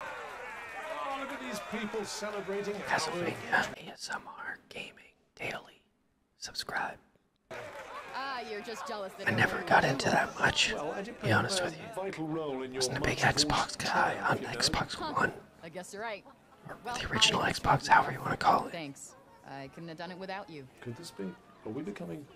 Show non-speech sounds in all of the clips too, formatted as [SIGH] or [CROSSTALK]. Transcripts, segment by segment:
Oh, ASMR Gaming Daily. Subscribe. Ah, I never got into that much, well, be honest with you. Wasn't a big Xbox guy on Xbox One. I guess you're right. the original Xbox, however you want to call it. Thanks. I couldn't have done it without you. Could this be? Are we becoming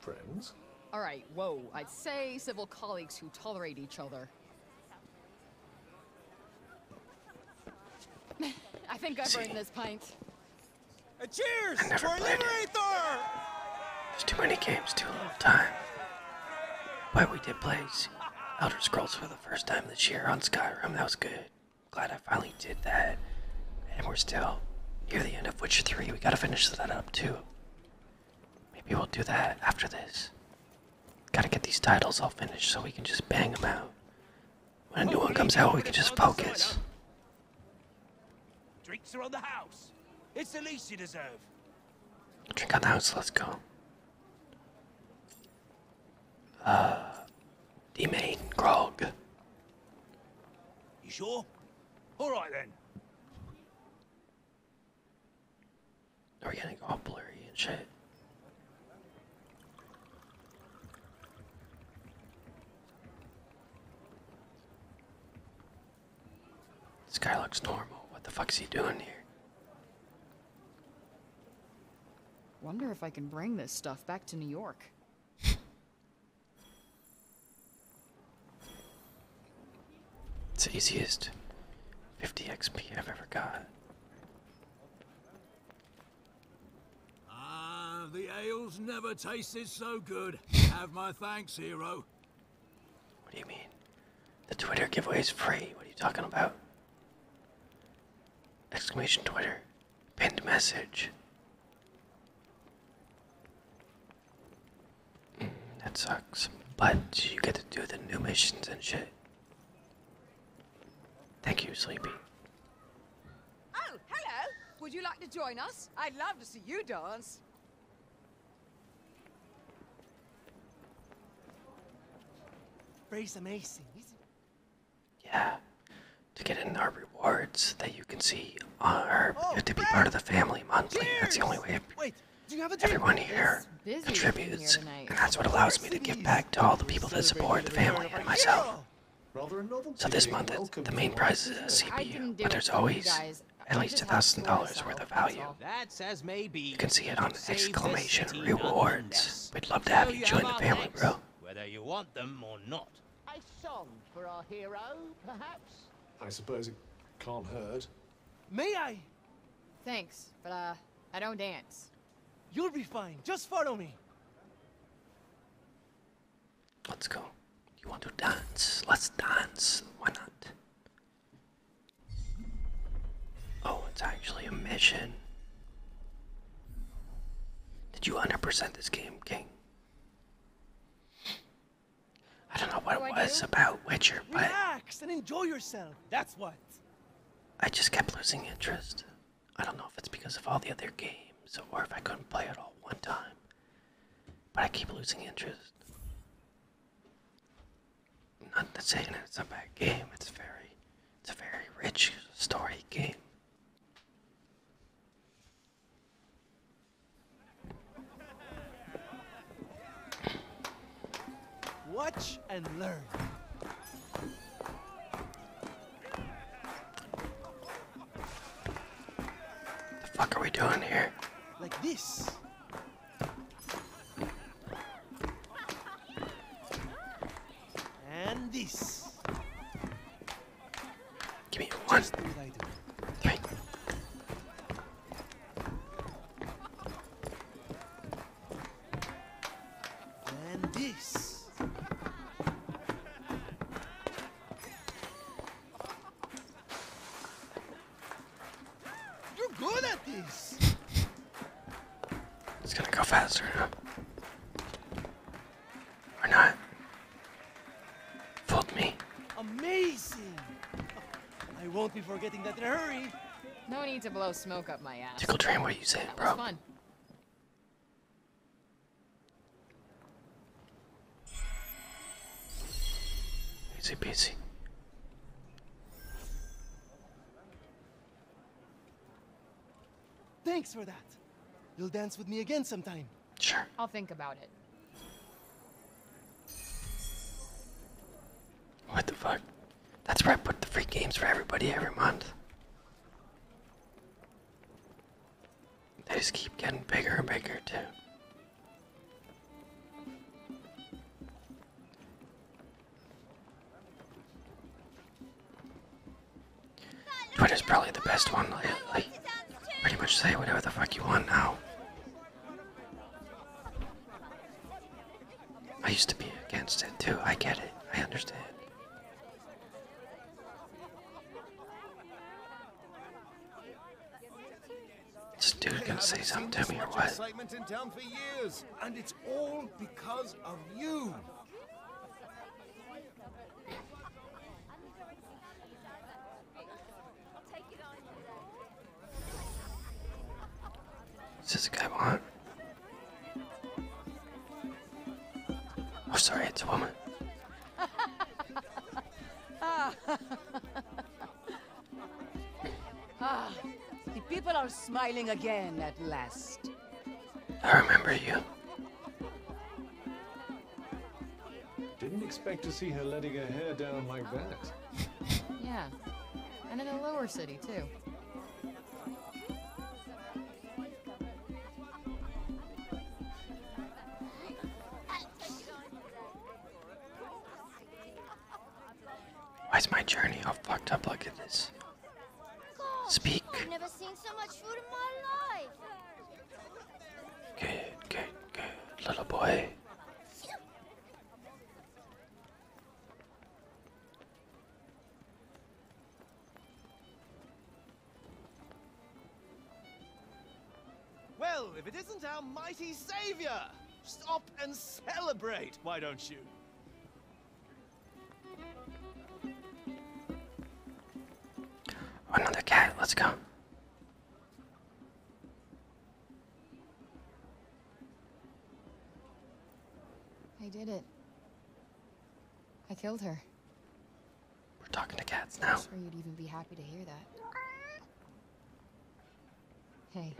friends? All right, whoa. I'd say civil colleagues who tolerate each other. [LAUGHS] I think I've earned this pint. Uh, cheers! I There's too many games, too little time. Why we did play Elder Scrolls for the first time this year on Skyrim. That was good. Glad I finally did that. And we're still near the end of Witcher 3. We gotta finish that up too. Maybe we'll do that after this. Gotta get these titles all finished so we can just bang them out. When a new one comes out, we can just focus. Drinks are on the house. It's the least you deserve. Drink on the house, let's go. Uh, D-Main, Grog. You sure? Alright then we getting all blurry and shit. This guy looks normal. What the fuck's he doing here? Wonder if I can bring this stuff back to New York. [LAUGHS] It's the easiest 50 XP I've ever got. Ah, the ale's never tasted so good. Have my thanks, hero. What do you mean? The Twitter giveaway is free. What are you talking about? Exclamation Twitter. Pinned message. That sucks. But you get to do the new missions and shit. Thank you, Sleepy. Oh, hello! Would you like to join us? I'd love to see you dance. Ray's amazing, Yeah. To get in our rewards that you can see are oh, to be part of the family monthly. That's the only way. Everyone here contributes, and that's what allows me to give back to all the people that support the family and myself. So this month, the main prize is a CPU, but there's always at least $1,000 worth of value. You can see it on exclamation rewards. We'd love to have you join the family, bro. Whether you want them or not. A song for our hero, perhaps? I suppose it can't hurt. May I? Thanks, but uh, I don't dance. You'll be fine. Just follow me. Let's go. You want to dance? Let's dance. Why not? Oh, it's actually a mission. Did you 100% this game, King? I don't know what it was about Witcher, but relax and enjoy yourself. That's what. I just kept losing interest. I don't know if it's because of all the other games or if I couldn't play it all one time. But I keep losing interest. Not to say it's a bad game. It's very, it's a very rich story game. Watch and learn. What The fuck are we doing here? Like this. And this. Give me one. Three. And this. You're good at this. it's gonna go faster. Huh? Or not. Fooled me. Amazing. I won't be forgetting that in a hurry. No need to blow smoke up my ass. Tickle train, what are you saying, that bro? Was fun. Easy peasy. Thanks for that. You'll dance with me again sometime. Sure. I'll think about it. What the fuck? That's where I put the free games for everybody every month. They just keep getting bigger and bigger too. Twitter's probably the best one. Like, pretty much say whatever the fuck you want now. I used to be against it too. I get it. I understand. This dude gonna say something to me or what? and it's all because of you. Is this a guy behind? Oh, sorry, it's a woman. [LAUGHS] ah, the people are smiling again at last. I remember you. Didn't expect to see her letting her hair down like oh. that. [LAUGHS] yeah, and in the lower city, too. Why's my journey all fucked up like this? Speak. Good, good, good, little boy. Well, if it isn't our mighty savior! Stop and celebrate, why don't you? Another cat, let's go. I did it. I killed her. We're talking to cats now. I'm sure you'd even be happy to hear that. Hey.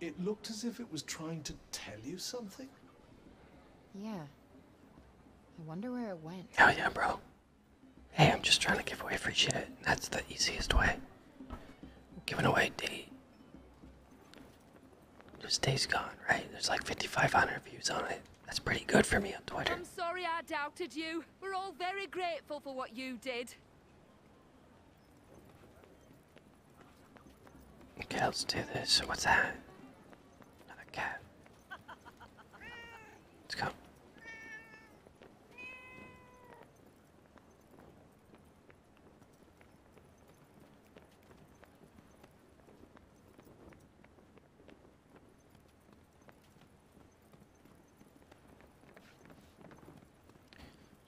It looked as if it was trying to tell you something. Yeah, I wonder where it went. Hell oh, yeah, bro. Hey, I'm just trying to give away free shit. That's the easiest way. Giving away date. Just day's gone, right? There's like 5,500 views on it. That's pretty good for me on Twitter. I'm sorry I doubted you. We're all very grateful for what you did. Okay, let's do this. What's that? Another cat. Let's go.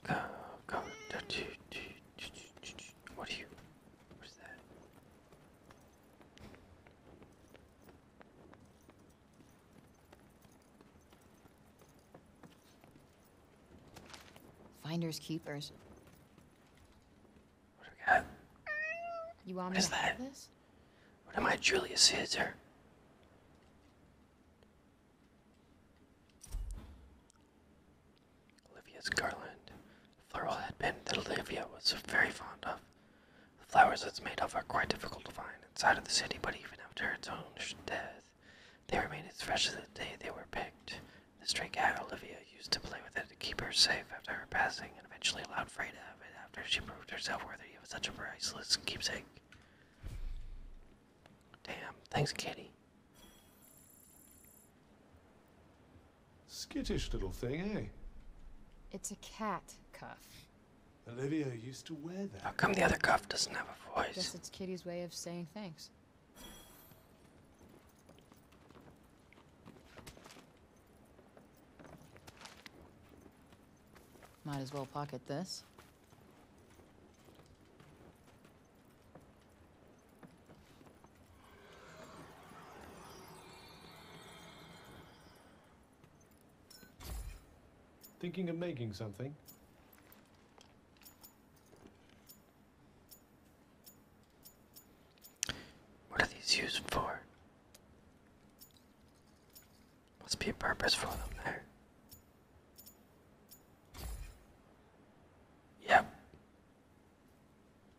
Go, go. What are you? What's that? Finders keepers. What do we got? You want me to that? This? What am I, Julius Caesar? Olivia's garland. Floral headband that Olivia was very fond of. The flowers it's made of are quite difficult to find inside of the city, but even after its owner's death, they remain as fresh as the day they were picked. The stray cat Olivia used to play with it to keep her safe after her passing, and eventually allowed Frey to have it after she proved herself worthy of such a priceless keepsake. Damn, thanks, Kitty. Skittish little thing, eh? It's a cat cuff. Olivia used to wear that. How come the other cuff doesn't have a voice? I Guess it's Kitty's way of saying thanks. Might as well pocket this. Thinking of making something? What are these used for? Must be a purpose for them there. Yep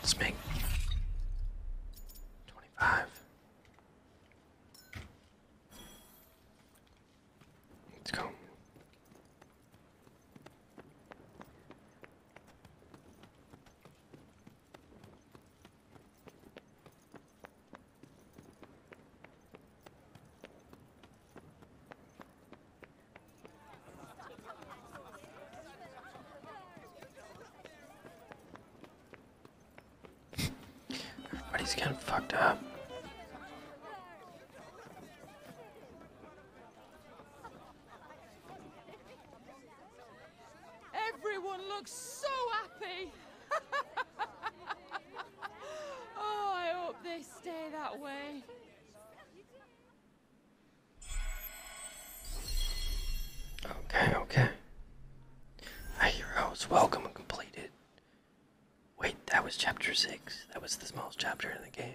Let's make 25. Let's go. Everybody's getting fucked up. Everyone looks so happy. [LAUGHS] [LAUGHS] oh, I hope they stay that way. Okay, okay. A hero's welcome and completed. Wait, that was chapter 6. That was the smallest chapter in the game.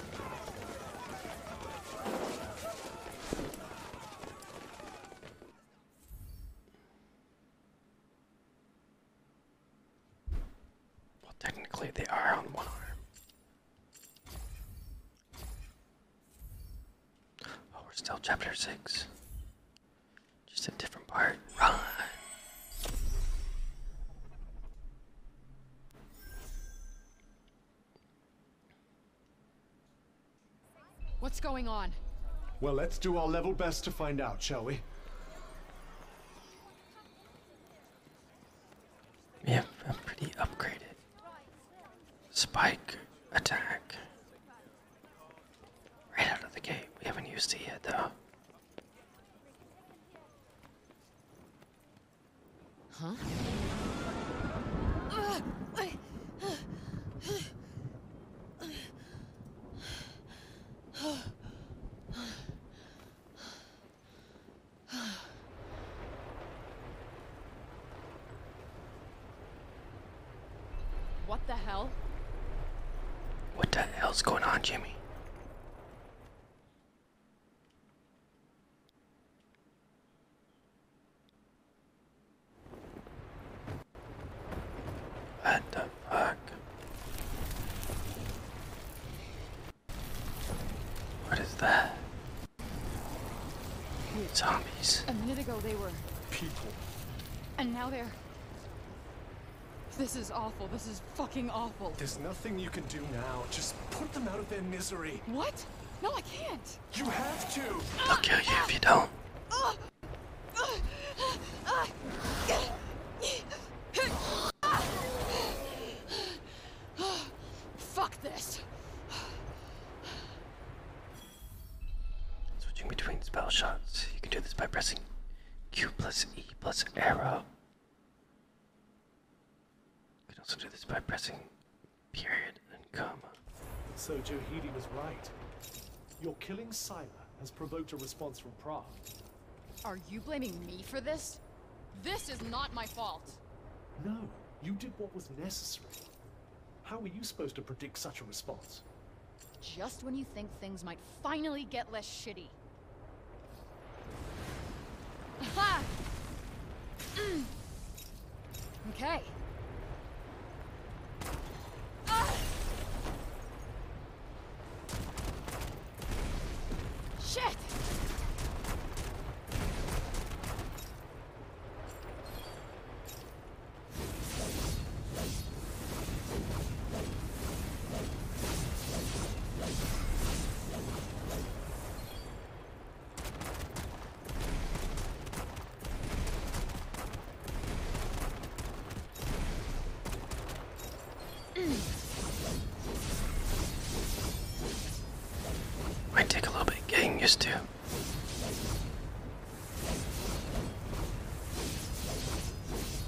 Well, technically, they are on one arm. Oh, we're still chapter six. Just a different part. Run! What's going on? Well, let's do our level best to find out, shall we? Yeah, I'm pretty upgraded. Spike attack. Right out of the gate. We haven't used it yet, though. Huh? What the hell? What the hell's going on, Jimmy? What the fuck? What is that? Zombies. A minute ago they were people. And now they're this is awful. This is fucking awful. There's nothing you can do now. Just put them out of their misery. What? No, I can't. You have to. I'll kill you if you don't. Fuck this. Switching between spell You can do this by pressing Q plus E plus arrow. You can also do this by pressing period and comma. So Johidi was right. Your killing Scylla has provoked a response from Prague. Are you blaming me for this? This is not my fault! No, you did what was necessary. How were you supposed to predict such a response? Just when you think things might finally get less shitty, Mm. okay. Ah! Shit! Might take a little bit getting used to.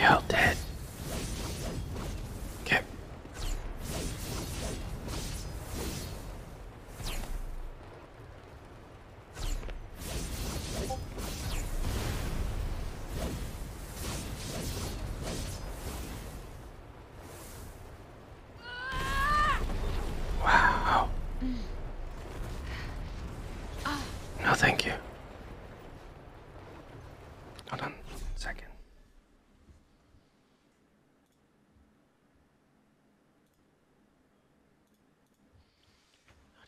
You're dead. Okay. Wow. No, thank you. Hold on second.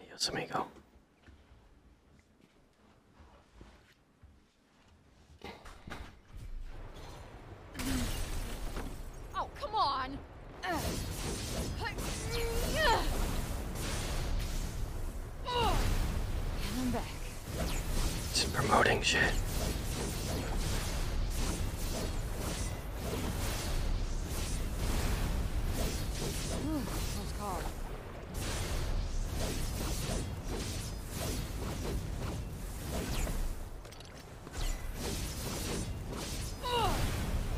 Adios, amigo. Oh, come on! Come back. It's promoting shit.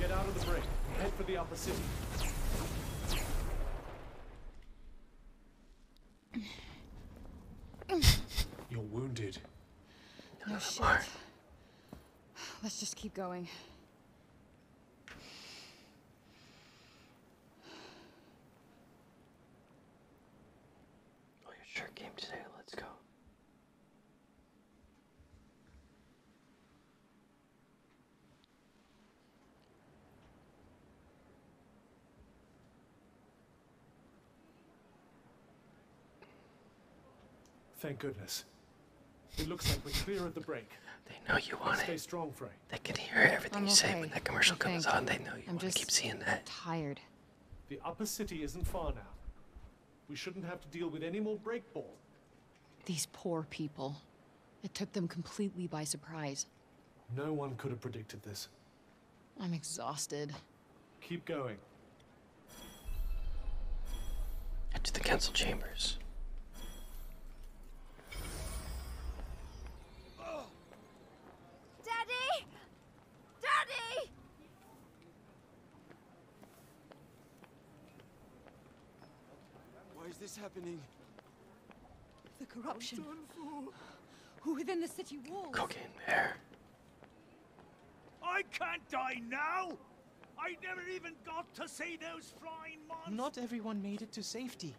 Get out of the break. Head for the upper city. You're wounded. No oh, shit. Let's just keep going. Oh, your shirt came today. Let's go. Thank goodness. It looks like we're clear of the break. They know you want it. Stay strong, Frank. They can hear everything you okay. say when that commercial comes on. They know you I'm want just to keep seeing that. Tired. The upper city isn't far now. We shouldn't have to deal with any more break ball. These poor people. It took them completely by surprise. No one could have predicted this. I'm exhausted. Keep going. To the council chambers. Daddy! Daddy! Why is this happening? The corruption. Who Within the city walls. Cocaine there. I can't die now! I never even got to see those flying monsters! Not everyone made it to safety.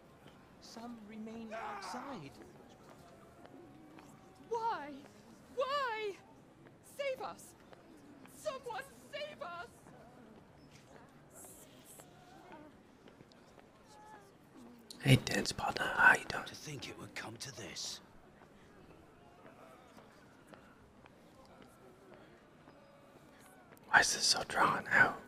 Some remain outside. Why? Why? Save us! Someone save us! Hey, dance partner, how you doing? To think it would come to this. Why is this so drawn out?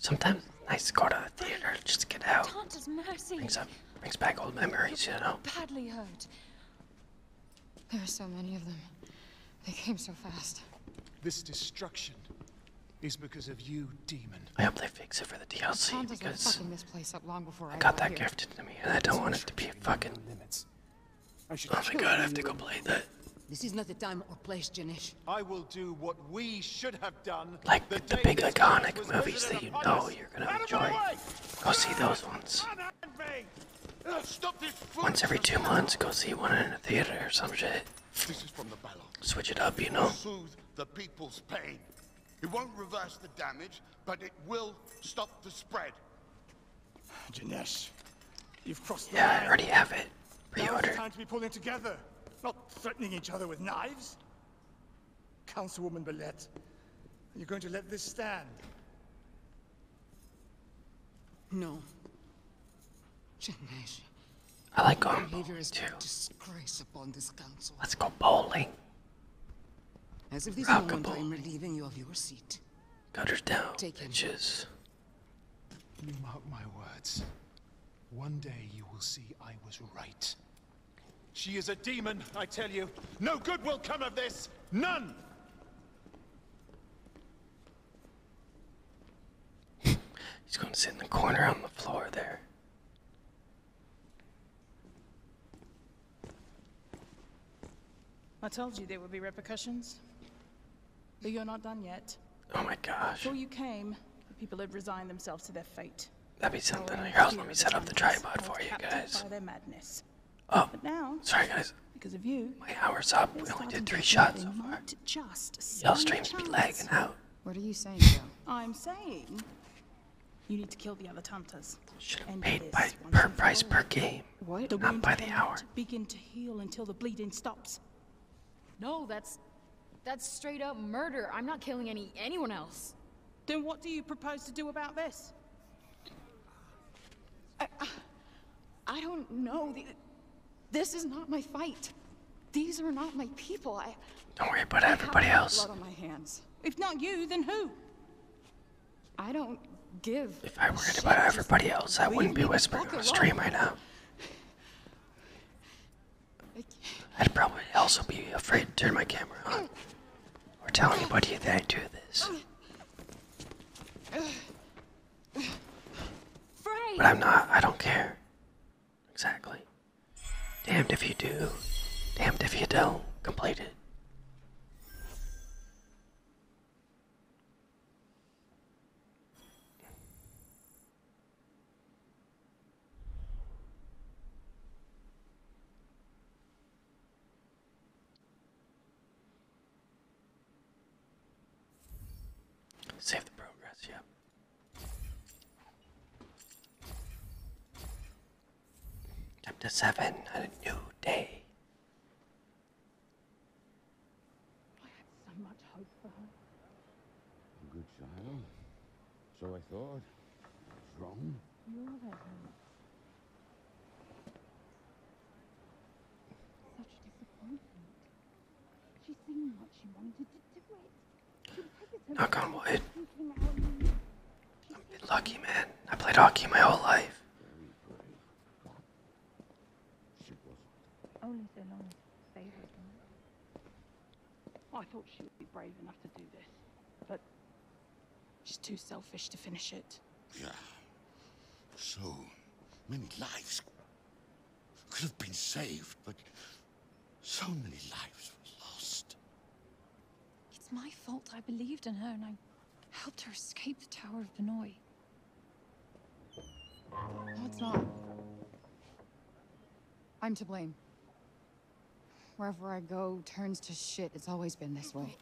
Sometimes it's nice to go to the theater, just to get out. Brings up, brings back old memories, you know. Badly hurt. There are so many of them. They came so fast. This destruction is because of you, demon. I hope they fix it for the DLC because I, I got that gifted to me, and I don't want it to be fucking. Limits. I should oh my god, I have to go play that. This is not the time or place, Janesh. I will do what we should have done. Like the, the big iconic movies that you know you're gonna enjoy. Go see those ones. Once every two months, go see one in a theater or some shit. Switch it up, you know. Soothe the people's pain. It won't reverse the damage, but it will stop the spread. Janesh, you've crossed the line. I already have it. Pre-order. time to be pulling together, not threatening each other with knives. Councilwoman Belette, are you going to let this stand? No. I like going bowling too. Let's go bowling. As of this Rock moment, bowl. I'm relieving you of your seat. Cut down, Take bitches. Him. Mark my words. One day you will see I was right. She is a demon, I tell you. No good will come of this. None! [LAUGHS] He's going to sit in the corner on the floor there. I told you there would be repercussions. But you're not done yet. Oh my gosh. Before you came, the people had resigned themselves to their fate. That'd be something. Your house. let me set up the tripod for you guys. By their madness. Oh, but now, sorry guys. Because of you, my hour's up. We only did three shots so far not just some Your streams chance. be lagging out. What are you saying, I'm saying you need to kill the other Tantas. Should have paid by per price per game, what? The not by the hour. Begin to heal until the bleeding stops. No, that's that's straight up murder. I'm not killing any anyone else. Then what do you propose to do about this? I don't know. This is not my fight. These are not my people. I. Don't worry about I everybody else. Blood on my hands. If not you, then who? I don't give. If I worried about everybody else, I wouldn't be whispering on stream right now. I'd probably also be afraid to turn my camera on or tell anybody that I do this. But I'm not. I don't care. Exactly. Damned if you do, damned if you don't complete it. Save the progress, yep. Chapter 7 A New Day. I had so much hope for her. A good child. So I thought. What's wrong? You're there. Such disappointment. She's seen what she wanted to do it. She was hesitant. Knock on wood. I'm lucky, man. I played hockey my whole life. Only so long as they were I thought she would be brave enough to do this, but she's too selfish to finish it. Yeah. So many lives could have been saved, but so many lives were lost. It's my fault I believed in her and I helped her escape the Tower of Benoy. No, it's not. I'm to blame. Wherever I go turns to shit. It's always been this way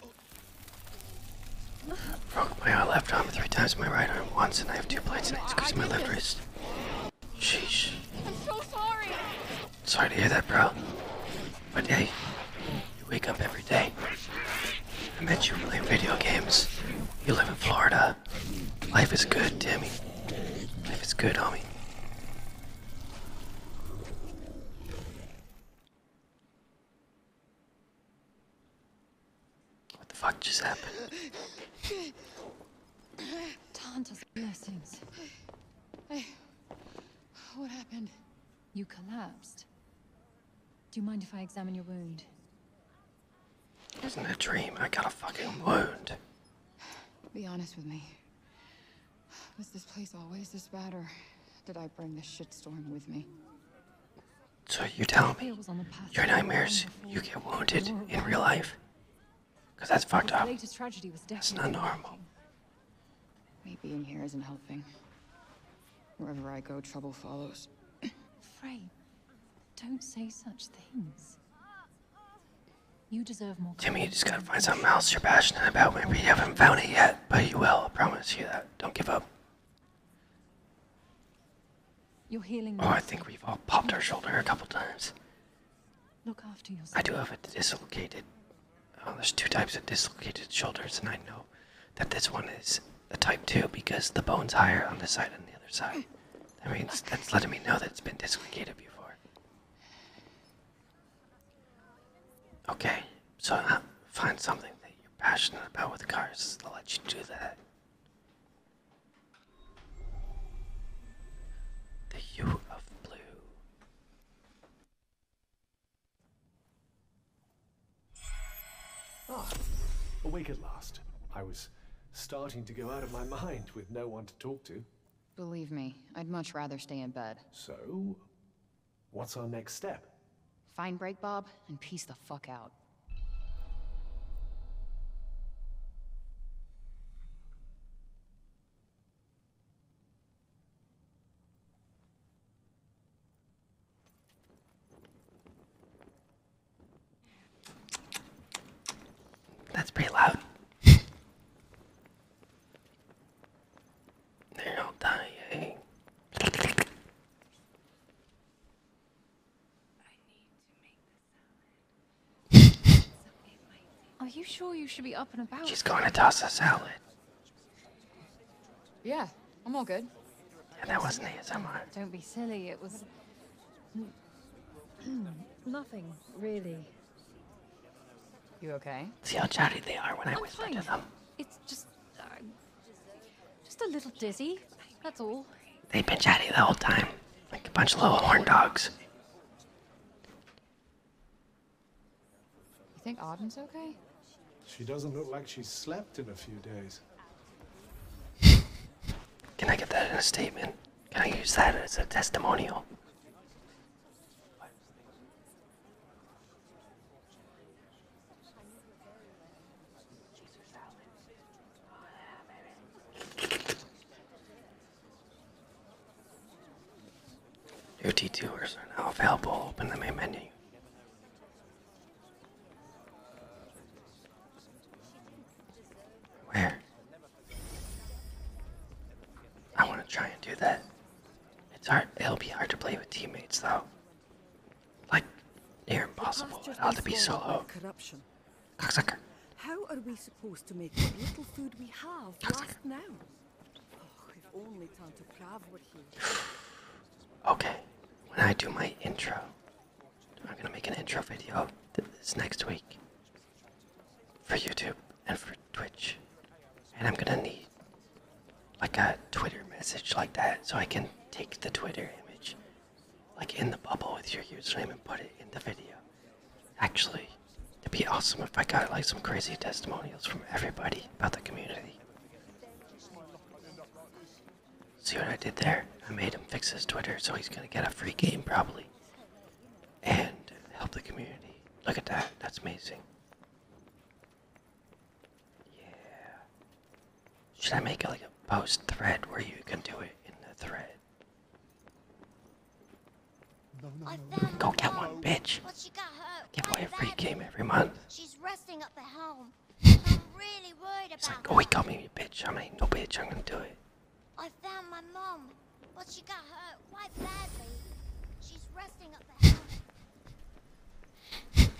my left arm three times my right arm once, and I have two plates, and it squeezed my left wrist. Sheesh. I'm so sorry. Sorry to hear that, bro. But hey, you wake up every day. I met you playing video games. You live in Florida. Life is good, Timmy. Life is good, homie. What the fuck just happened? Tanta's blessings. Hey, what happened? You collapsed. Do you mind if I examine your wound? is wasn't a dream. I got a fucking wound. Be honest with me. Was this place always this bad, or did I bring this shitstorm with me? So you tell me your nightmares, you get wounded in real life? Because that's fucked up. It's not normal. Me being here isn't helping. Wherever I go, trouble follows. Frey, don't say such things. You deserve more. Timmy, you just gotta find something else you're passionate about. Maybe you haven't found it yet, but you will. I promise you that. Don't give up. Oh, I think we've all popped our shoulder a couple times. Look after yourself. I do have a dislocated. Oh, there's two types of dislocated shoulders, and I know that this one is a type two because the bone's higher on this side than the other side. [LAUGHS] That means that's letting me know that it's been dislocated before. Okay, so find something that you're passionate about with cars. I'll let you do that. The hue of blue. Ah, awake at last. I was starting to go out of my mind with no one to talk to. Believe me, I'd much rather stay in bed. So, what's our next step? Fine, Break Bob and peace the fuck out. That's pretty loud. [LAUGHS] They're all dying. [LAUGHS] Are you sure you should be up and about? She's going to toss a salad. Yeah, I'm all good. Yeah, that wasn't ASMR. Don't be silly. It was [CLEARS THROAT] nothing really. You okay? See how chatty they are when i whisper to them. It's just. Uh, just a little dizzy, that's all. They've been chatty the whole time, like a bunch of little horn dogs. You think Auden's okay? She doesn't look like she's slept in a few days. [LAUGHS] Can I get that in a statement? Can I use that as a testimonial? Your t 2 are now available. Open the main menu. Where? I want to try and do that. It's hard. It'll be hard to play with teammates, though. Like, near impossible. It ought to be so How are we supposed to make the little food we have last now? Oh, [SIGHS] okay, when I do my intro, I'm gonna make an intro video this next week for YouTube and for Twitch, and I'm gonna need like a Twitter message like that so I can take the Twitter image like in the bubble with your username and put it in the video. Actually, it'd be awesome if I got like some crazy testimonials from everybody about the community. See what I did there? I made him fix his Twitter so he's gonna get a free game probably. And help the community. Look at that, that's amazing. Yeah. Should I make like a post thread where you can do it in the thread? Go get one, bitch. Give away a free game every month. [LAUGHS] oh, he got me, bitch. I'm no bitch. I'm gonna do it. I found my mom, but she got hurt quite badly. She's resting up at home.